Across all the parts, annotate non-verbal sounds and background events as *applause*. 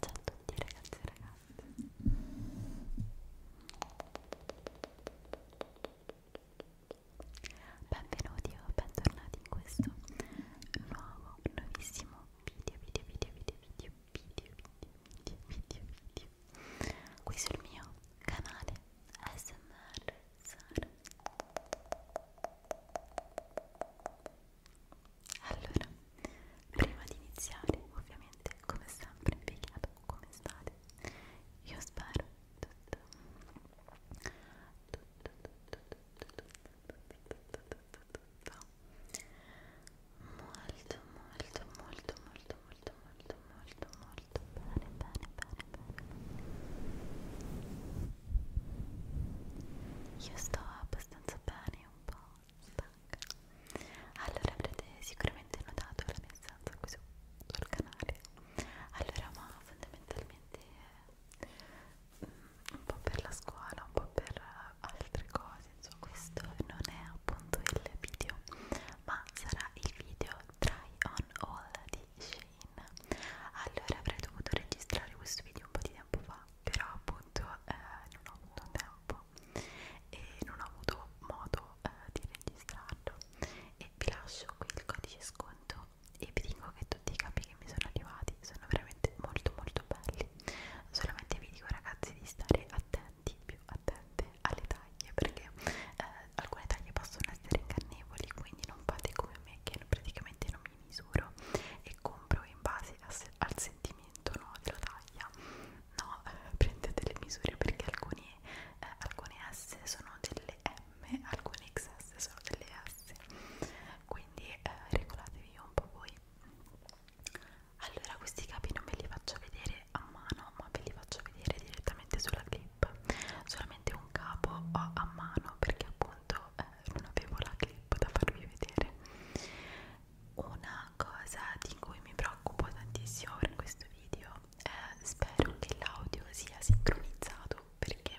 Ciao a tutti ragazzi e ragazze Benvenuti o bentornati in questo nuovo, nuovissimo video, video, video, video, video, video, video, video, video, video Qui sul mio canale ASMR Sara allora, prima di iniziare, ovviamente, come sempre vi chiedo come state. Io spero tutto, tutto, tutto, tutto, tutto, tutto, tutto, tutto. molto, molto, molto, molto, molto, molto, molto, molto bene, bene, bene, bene. Io sto abbastanza bene, un po' stanca. Allora avrete sicuramente notato la mia stanza qui su, sul canale. Allora, ma fondamentalmente è mm, un po' per la scuola, un po' per altre cose. Insomma, questo non è appunto il video, ma sarà il video try on all di Shea Rain allora avrei dovuto registrare questo video un po' di tempo fa però appunto eh, non ho avuto tempo e non ho avuto modo eh, di registrarlo e vi lascio qui il codice sconto e vi dico che tutti i capi che mi sono arrivati sono veramente molto molto belli solamente vi dico ragazzi di stare attenti più attente alle taglie perché eh, alcune taglie possono essere ingannevoli quindi non fate come me che praticamente non mi mi misuro e compro in base a se al sentimento no, della taglia no, eh, prendete le misure perché alcuni, eh, alcune S sono delle M alcune XS sono delle S quindi eh, regolatevi un po' voi allora questi capi non ve li faccio vedere a mano ma ve li faccio vedere direttamente sulla clip solamente un capo ho a mano perché appunto eh, non avevo la clip da farvi vedere una cosa di cui mi preoccupo tantissimo per questo video eh, spero che l'audio sia sincronizzato perché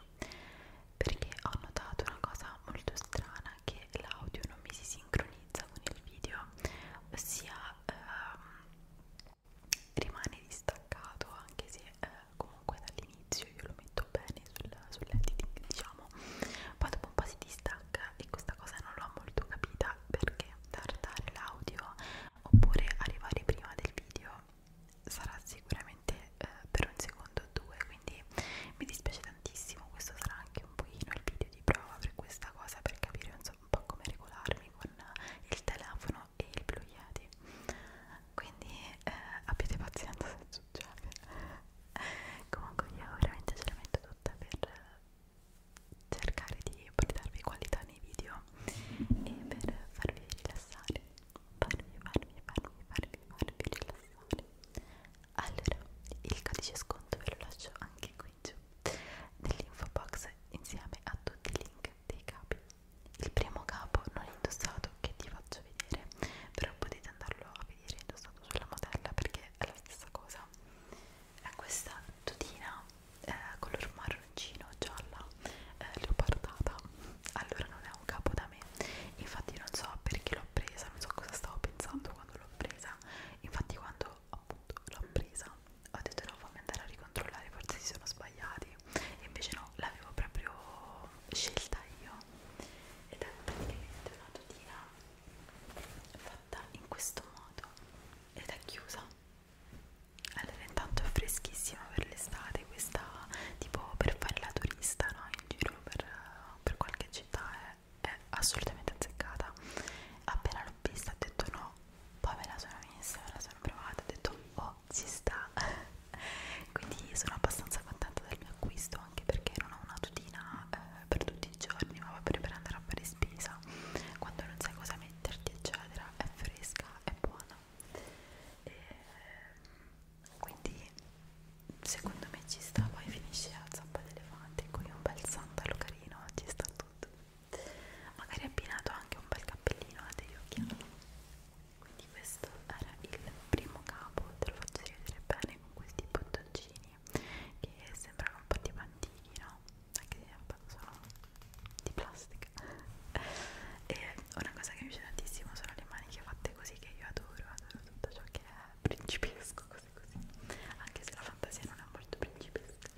perché ho notato una cosa molto strana che l'audio non mi si sincronizza con il video ossia ehm, rimane distaccato anche se eh, comunque dall'inizio io lo metto bene sul, sull'editing diciamo poi dopo un po' si distacca e questa cosa non l'ho molto capita perché tardare l'audio oppure arrivare prima del video sarà sicuramente eh, per un secondo o due quindi mi dispiace tantissimo questo sarà anche un pochino il video di prova per questa cosa per capire insomma, un po' come regolarmi con il telefono e il Blue Yeti quindi eh, abbiate pazienza se succede *laughs* comunque io veramente ce la metto tutta per cercare di portarvi qualità nei video e per farvi rilassare farvi, farvi, farvi, farvi, farvi rilassare allora, il codice sconto ve lo lascio anche qui giù nell'info box insieme a tutti i link dei capi il primo capo non indossato che ti faccio vedere però potete andarlo a vedere indossato sulla modella perché è la stessa cosa è questa tutina eh, color marroncino gialla eh, leopardata allora non è un capo da me infatti non so perché l'ho presa non so cosa stavo pensando quando l'ho presa infatti quando appunto l'ho presa ho detto no fammi andare a ricontrollare forse si sono sbagliati io e invece no, l'avevo proprio scelta io ed è praticamente una tutina fatta in questo modo ed è chiusa allora intanto è freschissima per l'estate questa tipo per fare la turista no? in giro per, per qualche città è, è assolutamente azzeccata appena l'ho vista ho detto no poi me la sono messa, me la sono provata ho detto oh però ci sta *laughs* quindi sono abbastanza contenta del mio acquisto anche perché non ho una tutina eh, per tutti i giorni ma proprio per andare a fare spesa quando non sai cosa metterti eccetera è fresca è buona e, quindi secondo me ci sta poi finisce a zappa d'elefante con un bel sandalo carino ci sta tutto magari abbinato anche un bel cappellino a eh, degli occhiali quindi questo era il primo capo te lo faccio rivedere bene con questi bottoncini che sembrano un po' di bandini no? anche se sono di plastica e una cosa che mi piace tantissimo sono le maniche fatte così che io adoro adoro tutto ciò che è principesco così così anche se la fantasia non è molto principesca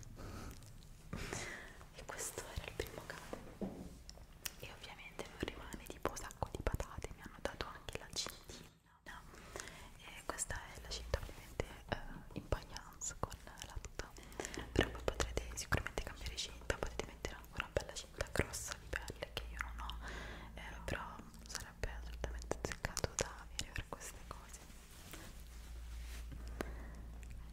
e questo era il primo capo e ovviamente non rimane tipo sacco di patate mi hanno dato anche la cintina e questa è la cinta ovviamente eh, in paglianza con la tuta però voi potrete sicuramente cambiare cinta potete mettere ancora una bella cinta grossa di pelle che io non ho eh, però sarebbe assolutamente azzeccato da avere per queste cose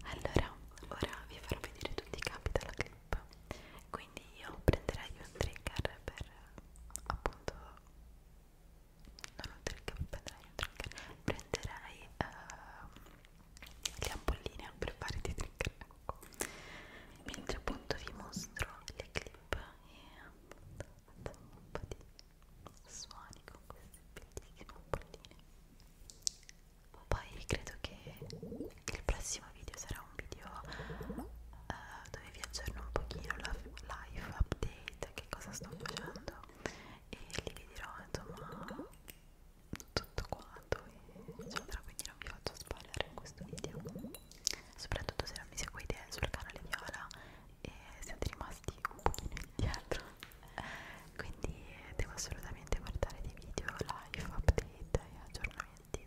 allora ora vi farò vedere tutti i capi della clip trip quindi io prenderei un trigger per appunto non un trigger prenderei un trigger prenderei uh, le ampolline per fare dei trigger ecco. mentre appunto vi mostro le clip e appunto facciamo un po' di suoni con queste bellissime ampolline poi credo che il prossimo video sarà un video uh, dove vi aggiorno un pochino la live update, che cosa sto facendo e lì vi dirò insomma tutto quanto eccetera, quindi non vi faccio spoiler in questo video. Soprattutto se non mi seguite sul canale Viola e siete rimasti un pochino indietro. Quindi devo assolutamente guardare dei video live, update e aggiornamenti commenti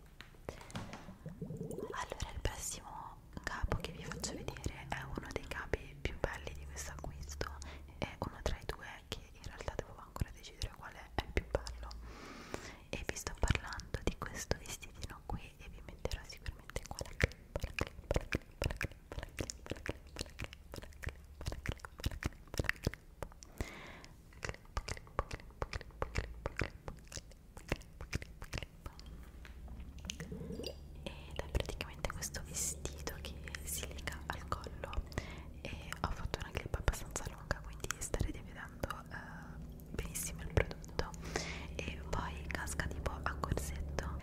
allora il prossimo capo che vi faccio vedere è uno dei capi più belli di questo acquisto è uno tra i due che in realtà devo ancora decidere quale è il più bello e vi sto parlando di questo vestitino qui e vi metterò sicuramente qua la clip la clip la clip la clip la clip la clip la clip la clip la clip la clip la clip ed è praticamente questo vestito che si lega al collo e ho fatto una clip abbastanza lunga quindi starete vedendo eh, benissimo il prodotto e poi casca tipo a corsetto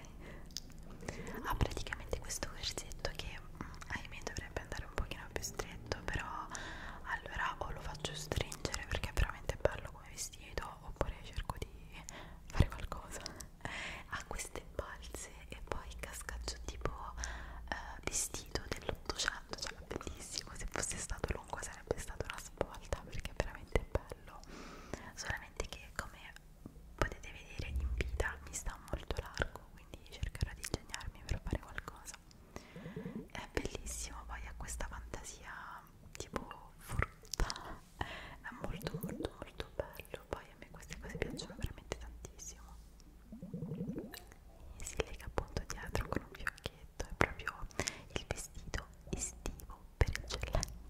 ha praticamente questo corsetto che ahimè dovrebbe andare un pochino più stretto però allora o lo faccio stringere perché è veramente bello come vestito oppure cerco di fare qualcosa ha queste balze e poi cascaccio tipo eh, vestito dell'ottocento cioè bellissimo se fosse stato lungo sarebbe stata una svolta perché è veramente bello solamente che come potete vedere in vita mi sta molto largo quindi cercherò di ingegnarmi per fare qualcosa è bellissimo poi ha questa fantasia tipo frutta è molto molto molto bello poi a me queste cose piacciono veramente tantissimo e si lega appunto dietro con un fiocchetto è proprio il vestito estivo per eccellenza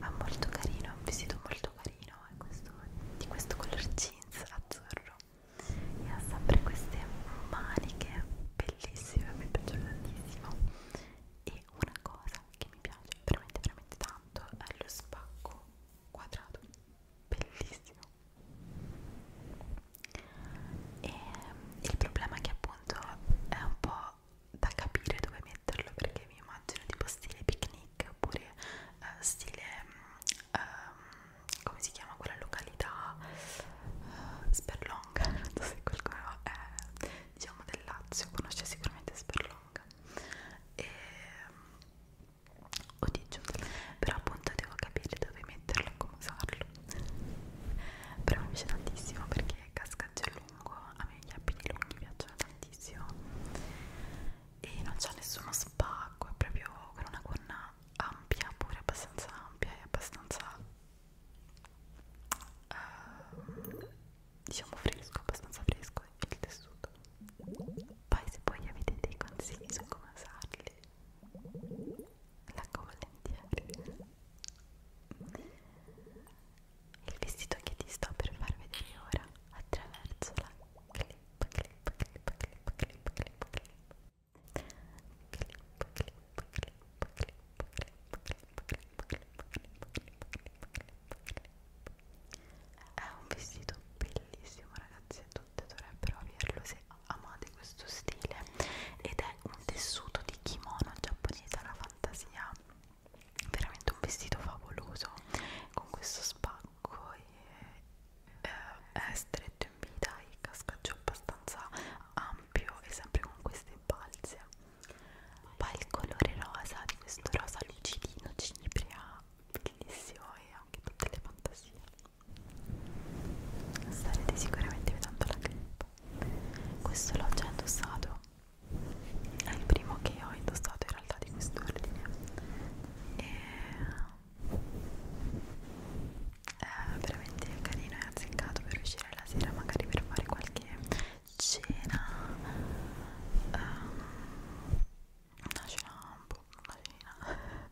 ma ah, molto carino, è un vestito molto carino è eh, questo, di questo color jeans azzurro e ha sempre queste maniche bellissime, mi piacciono tantissimo e una cosa che mi piace veramente veramente tanto è lo spacco quadrato bellissimo e il problema è che appunto è un po' da capire dove metterlo perché mi immagino tipo stile picnic oppure uh, stile um, come si chiama quella località uh, eh, Sperlonga *laughs* non so se qualcuno è diciamo del Lazio conosce sicuramente Sperlonga e o di giù però appunto devo capire dove metterlo e come usarlo però mi piace tantissimo perché casca stacci a lungo a me gli abiti lunghi piacciono tantissimo e non c'è nessuno spacco è proprio con una gonna ampia pure abbastanza ampia e abbastanza uh, diciamo fresco abbastanza fresco il tessuto poi se poi avete dei consigli su come usarli leggo volentieri il vestito che ti sto per far vedere ora attraverso la clip clip clip clip clip clip clip clip clip clip è un vestito bellissimo ragazzi e tutte dovrebbero averlo se amate questo stile ed è un tessuto di kimono giapponese alla fantasia veramente un vestito favoloso con questo spacco e, eh, è stretto in vita e cascaggio abbastanza ampio e sempre con queste balze poi il colore rosa di questo rosa lucidino cinebrea bellissimo e anche tutte le fantasie starete sicuramente vedendo la clip questo l'ho già indossato è il primo che ho indossato in realtà di quest'ordine e è eh, veramente carino e azzeccato per uscire la sera magari per fare qualche cena um, una cena un po' una cena *laughs*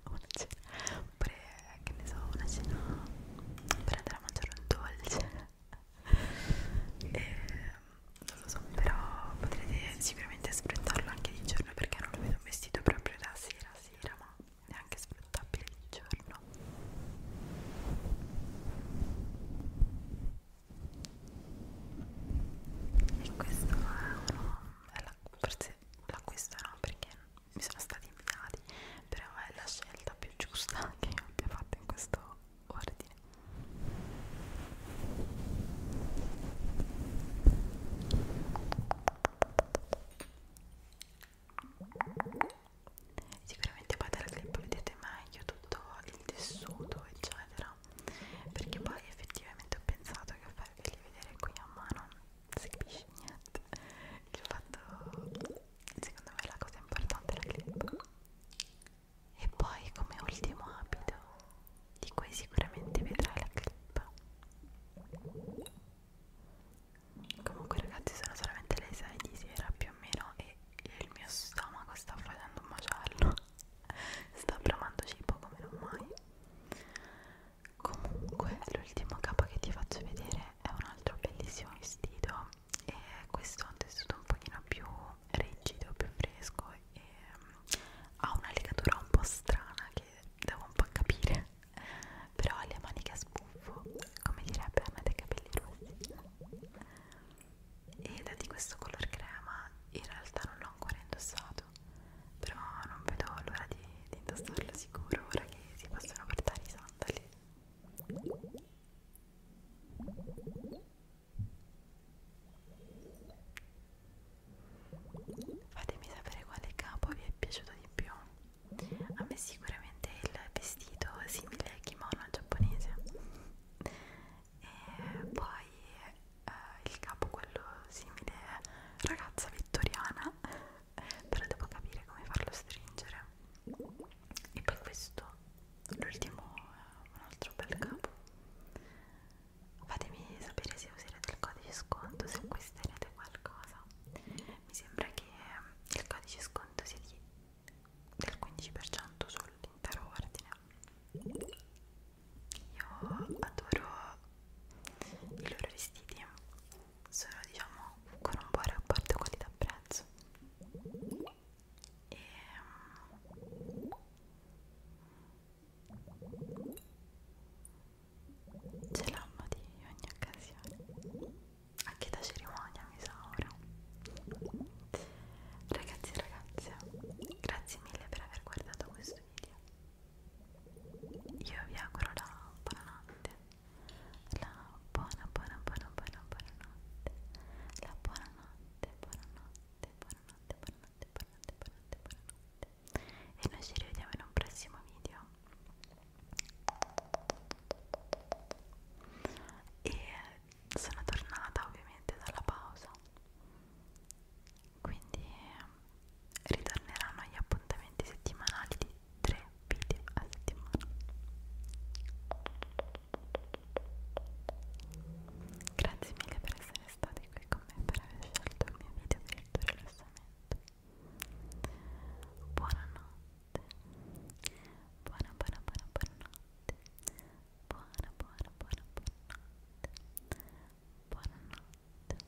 una cena oppure che ne so una cena per andare a mangiare un dolce e, ehm, non lo so, però potrete sicuramente sfruttarlo anche di giorno perché non lo vedo un vestito proprio da sera a sera, ma è anche sfruttabile di giorno. E questo è uno, è la, forse l'acquisto no perché mi sono stati inviati, però è la scelta più giusta *laughs* che io abbia fatto in questo ordine sicuramente poi dal clip vedete meglio tutto il tessuto eccetera perché poi effettivamente ho pensato che farveli vedere qui a mano non si capisce niente il fatto secondo me la cosa importante è la clip e poi come ultimo abito, di cui sicuramente vedrai la clip. Comunque ragazzi sono solamente le 6 di sera più o meno e il mio stomaco sta facendo un macello. *laughs* sta bramando cibo come non mai. Comunque l'ultimo capo che ti faccio vedere è un altro bellissimo vestito e questo è un tessuto un pochino più rigido, più fresco e mm, ha una legatura un po' strana che devo un po' capire *laughs* però ha le maniche a sbuffo come direbbe Anna dei capelli rossi ed è di questo color crema in realtà non l'ho ancora indossato però non vedo l'ora di, di indossarlo sicuro ora che si possono portare i sandali Fatemi sapere quale capo vi è piaciuto di più. A me sicuramente il vestito simile al kimono al giapponese. E poi eh, il capo quello simile ragazza vittoriana, però devo capire come farlo stringere. E poi questo l'ultimo è un altro bel mm-hmm. capo fatemi sapere se userete il codice sconto se acquisterete qualcosa mi sembra che ehm, il codice sconto sia di, del 15% sull'intero ordine io adoro i loro vestiti sono diciamo con un buon rapporto qualità prezzo e ehm, ce l'hanno di ogni occasione anche da cerimonia mi sa ora ragazzi e ragazze grazie mille per aver guardato questo video io vi auguro la buonanotte la buona buona buona buona buona notte la buona notte buonanotte, buonanotte, buonanotte, buonanotte, buonanotte, buonanotte. E noi ci rivediamo in un prossimo video. E sono tornata ovviamente dalla pausa. Quindi ritorneranno gli appuntamenti settimanali di tre video a settimana. Grazie mille per essere stati qui con me per aver scelto il mio video per il tuo rilassamento. Buonanotte. Buona buona buona buonanotte. Buona buona buona buonanotte. Buonanotte. Notte.